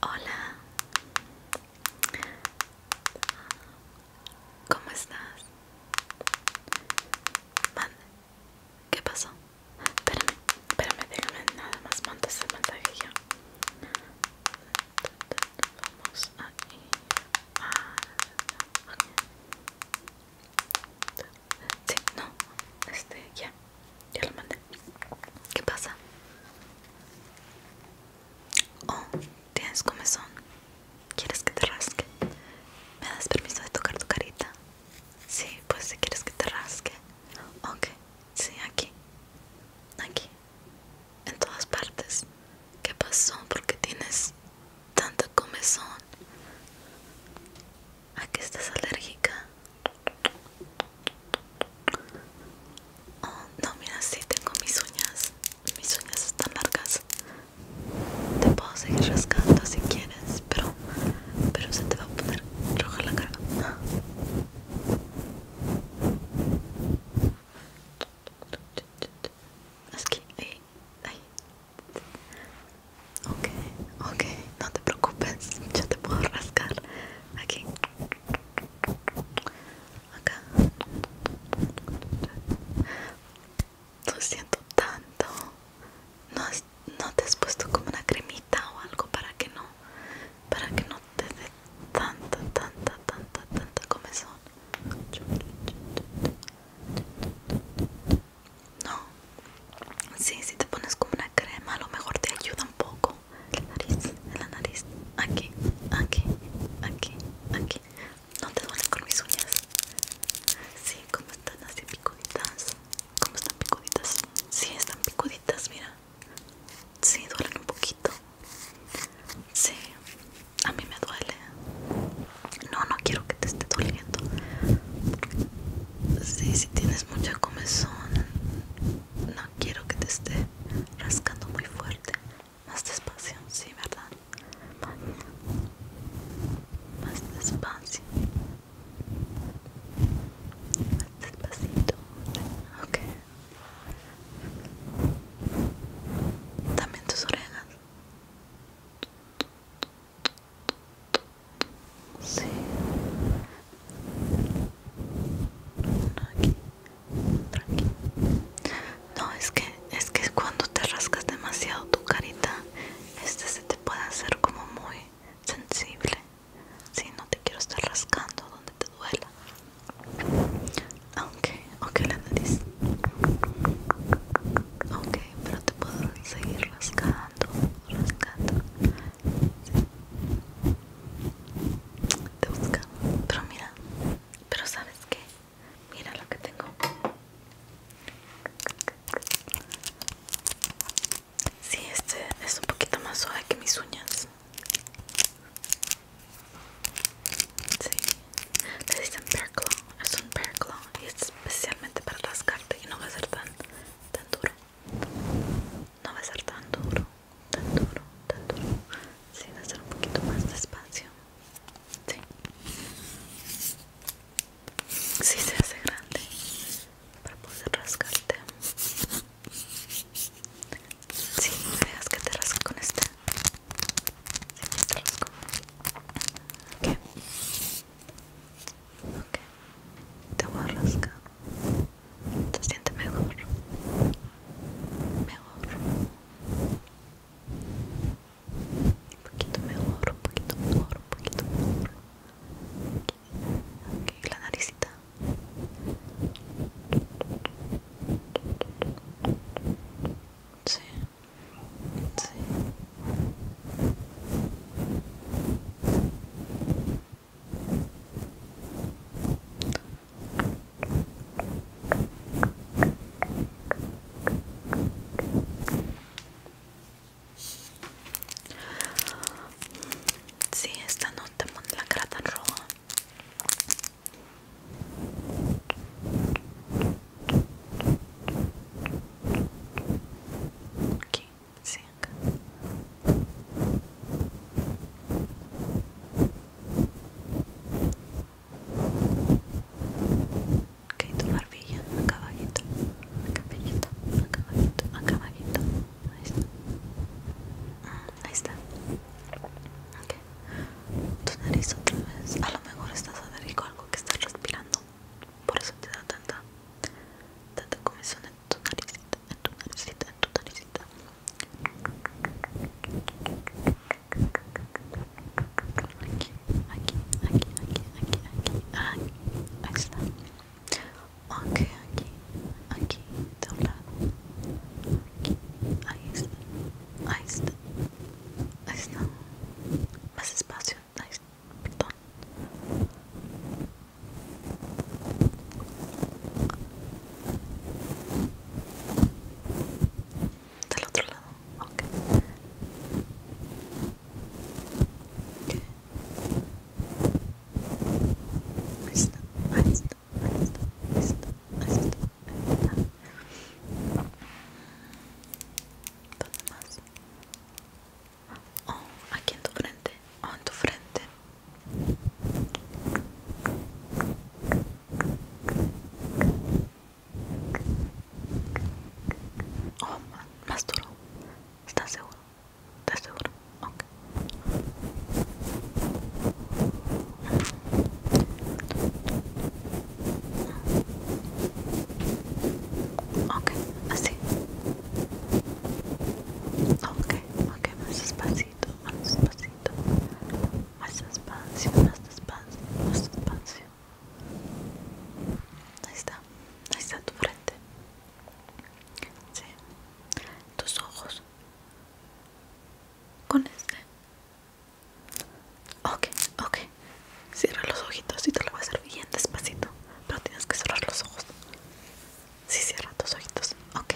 Hola, ¿cómo estás? ¿Qué pasó? Espérame, espérame, nada más montar el mensaje vamos a ir Sí, no, este, ya, ya lo mandé. ¿Qué pasa? Oh, tienes comezón. ¿Quieres que te rasque? ¿Me das permiso de tocar tu carita? Sí, pues si quieres que te rasque. Ok, sí, aquí. Aquí en todas partes. ¿Qué pasó? Porque tienes tanta comezón? ¿A qué estás alérgica? Oh, no, mira, si tengo mis uñas. Mis uñas están largas. Te puedo seguir rascando si quieres, pero, pero se te va a poner roja la cara. Eh, ok, no te preocupes, yo te puedo rascar aquí, acá. Lo siento tanto. ¿No, ¿No te has puesto como una cremita o algo para que no, para que no desde tanta, tanta, tanta, tanta comezón. No, sí, si te pones como una crema, a lo mejor te ayuda un poco. En la nariz, en la nariz, aquí, aquí, aquí, aquí. No te duele con mis uñas. si, como están así picuditas. Como están picuditas. si, están picuditas, mira. Sí, duelen un poquito. Sí, a mí me duele. No, no quiero que te esté doliendo. Sí, si tienes mucha comezón, no quiero que te esté rascando muy fuerte. Más despacio, sí, ¿verdad? más despacio. Despacito. Ok. También tus orejas. Sí. aquí. Otro No, es que, es que cuando te rascas demasiado tu carita, este se te puede hacer como muy sensible. Si no te quiero estar rascando donde te duela. Aunque, aunque la nariz. Ok, pero te puedo seguir rascando, rascando. Te busca. Pero mira, pero sabes que? Mira lo que tengo. Sí, este es un poquito más suave que mis uñas. Sí. Le dicen Bear Claw. Es un Bear Claw y es especialmente para rascarte y no va a ser tan, tan duro. No va a ser tan duro, tan duro, tan duro. Sí, va a ser un poquito más despacio. Sí si se hace grande para poder rascarte si sí, que te rasco con este te rasco ok te voy a rascar te siente mejor mejor un poquito mejor, un poquito mejor, un poquito mejor. Aquí la naricita. Sí. Sí. Sí, esta nota muy la grata roja. Okay, sí que tu barbilla acá abajito acá abajito acá abajito acá caballito, ahí está mm, ahí está okay. tu nariz otra vez a lo mejor estás alérgico algo que estás respirando por eso te da tanta tanta comisión en tu naricita en tu naricita en tu naricita aquí, aquí, aquí, aquí, aquí, aquí, ahí está. Ok, aquí, aquí, de un lado, aquí, ahí está, ahí está, ahí está, más espacio, ahí está, Del otro lado. Okay. aquí en tu frente, en tu frente. Oh, más duro. ¿Estás seguro? ¿Estás seguro? Ok. Ok, así. Ok, ok, más despacito, más despacito. Más despacio, más despacio, más despacio. Ahí está, ahí está tu frente. Sí. Tus ojos. Con este. Ok, ok. Cierra los ojitos y te lo voy a hacer bien despacito. Pero tienes que cerrar los ojos. Sí, cierra tus ojitos. Ok.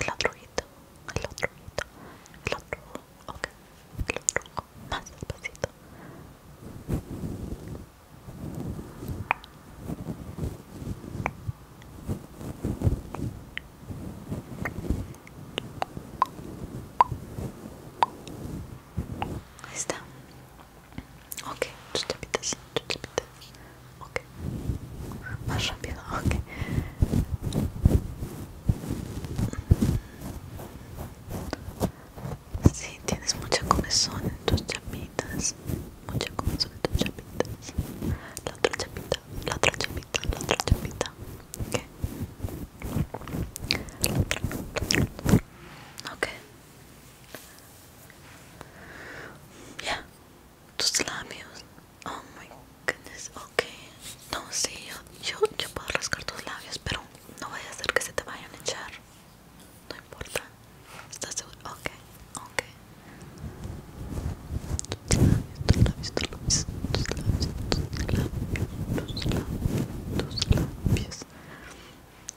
El otro hito. el otro hito. el otro ojo, ok, el otro ojo, más despacito. Ahí está. Ok, tus chapitas, tus chapitas Ok. Más rápido, ok. Sí, tienes mucha comezón en tus chapitas. Mucha comezón en tus chapitas. La otra chapita, la otra chapita, la otra chapita. Ok. Okay. ya Tus labios. Oh my goodness. Okay. No, sé. yo, puedo rascar tus labios, pero no vaya a ser que se te vayan a echar. No importa. ¿Estás seguro? Ok, ok. Tus labios, tus labios, tus labios, tus labios, tus labios, tus labios, tus labios, labios.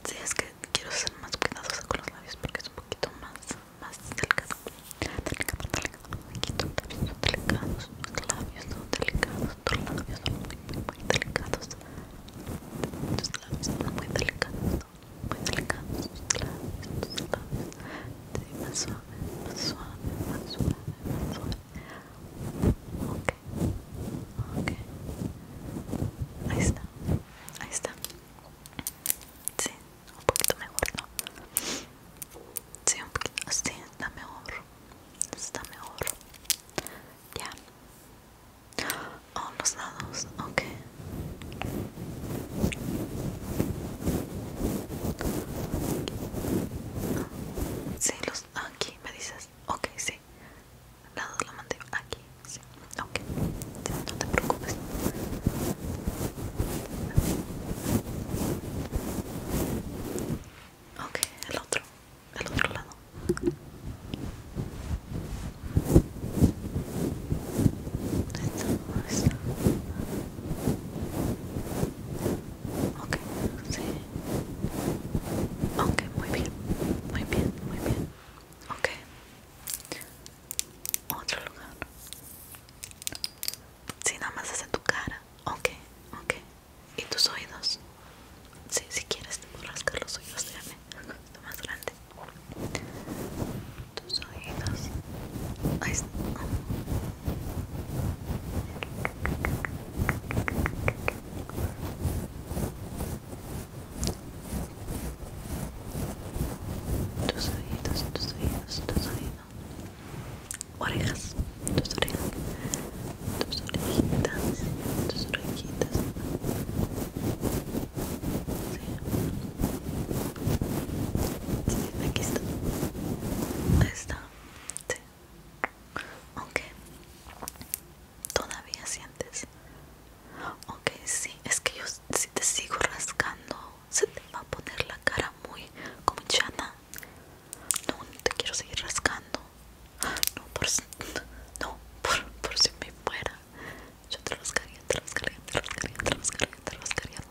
Si es que quiero ser más cuidadosa con los labios porque es un poquito más, más delicado. Delicado, delicado, poquito labios delicados, labios son delicados, tus labios son muy, muy, delicados. Tus labios son muy delicados, muy delicados, tus labios, tus labios. Sí, más suave, más suave, más suave, suave. Ok, ahí está, ahí está, sí, un poquito mejor, ¿no? Sí, un poquito, sí, está mejor, está mejor, ya, oh, los lados, ok. Sí, los, ah, aquí, me dices, ok, sí. Lado de la mandíbula, aquí, sí, ok, no te preocupes. Ok, el otro, el otro lado. Esta, Ok, sí. Ok, muy bien, muy bien, muy bien. Ok. Otro lugar. si nada más hace tu cara. Ok, ok. ¿Y tus oídos? si, si quieres te puedo rascar los oídos, déjame. Lo más grande. Tus oídos. Ahí tus oídos, tus oídos, tus oídos. Orejas, tus orejas. Tus orejitas, tus orejitas. aquí está. Ahí está. Ok. ¿Todavía sientes? Ok, si Es que yo si te sigo rascando, se te va a poner la cara muy como chana. No, te quiero seguir rascando. No, por si, no, por, si me fuera. Yo te te rascaría, te rascaría, te rascaría, te rascaría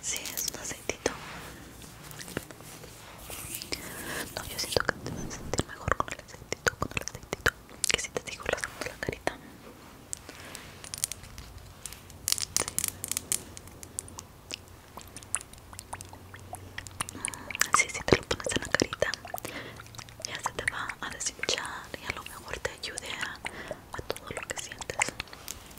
si es un aceitito. No, yo siento que te vas a sentir mejor con el aceitito, Que si te digo, lo hacemos en la carita. si si te lo pones en la carita, ya se te va a deshinchar y a lo mejor te ayude a todo lo que sientes.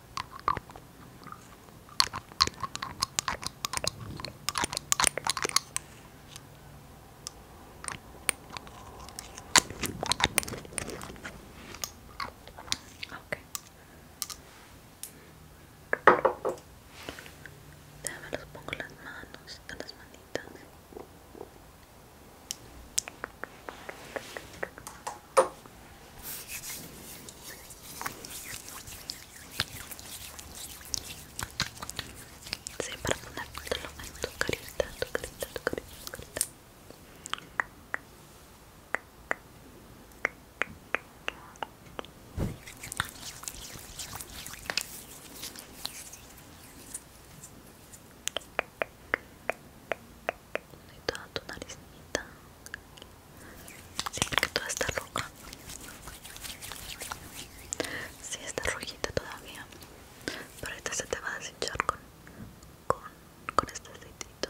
Okay. Déjame los pongo las manos, en las manitas. Sí, para ponértelo en tu carita, tu carita, tu carita, tu carita. y toda tu naricita sí, que toda está roja sí, está rojita todavía pero esta se te va a deshinchar con, con, con este aceitito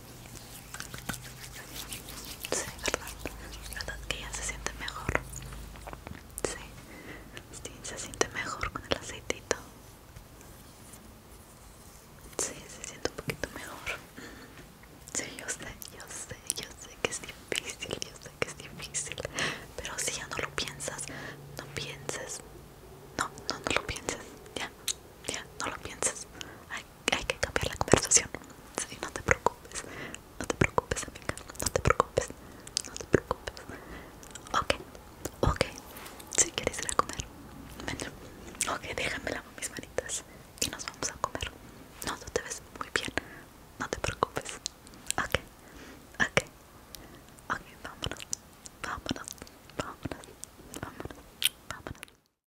Sí, ¿verdad? que ya se siente mejor? Sí, sí se siente mejor con el aceitito. Sí, se siente un poquito mejor. Sí, yo sé, yo sé, yo sé que es difícil, yo sé que es difícil. Pero si ya no lo piensas, no pienses. No, no, no lo pienses. Ya, ya, no lo pienses hay que cambiar la conversación. Si no te preocupes, no te preocupes, amiga, no te preocupes, no te preocupes. Ok, ok, si quieres ir a comer, ven. Ok, déjame con mis manitas y nos vamos a comer. No, tú te ves muy bien, no te preocupes. Ok, ok, ok, vámonos, vámonos, vámonos, vámonos, vámonos.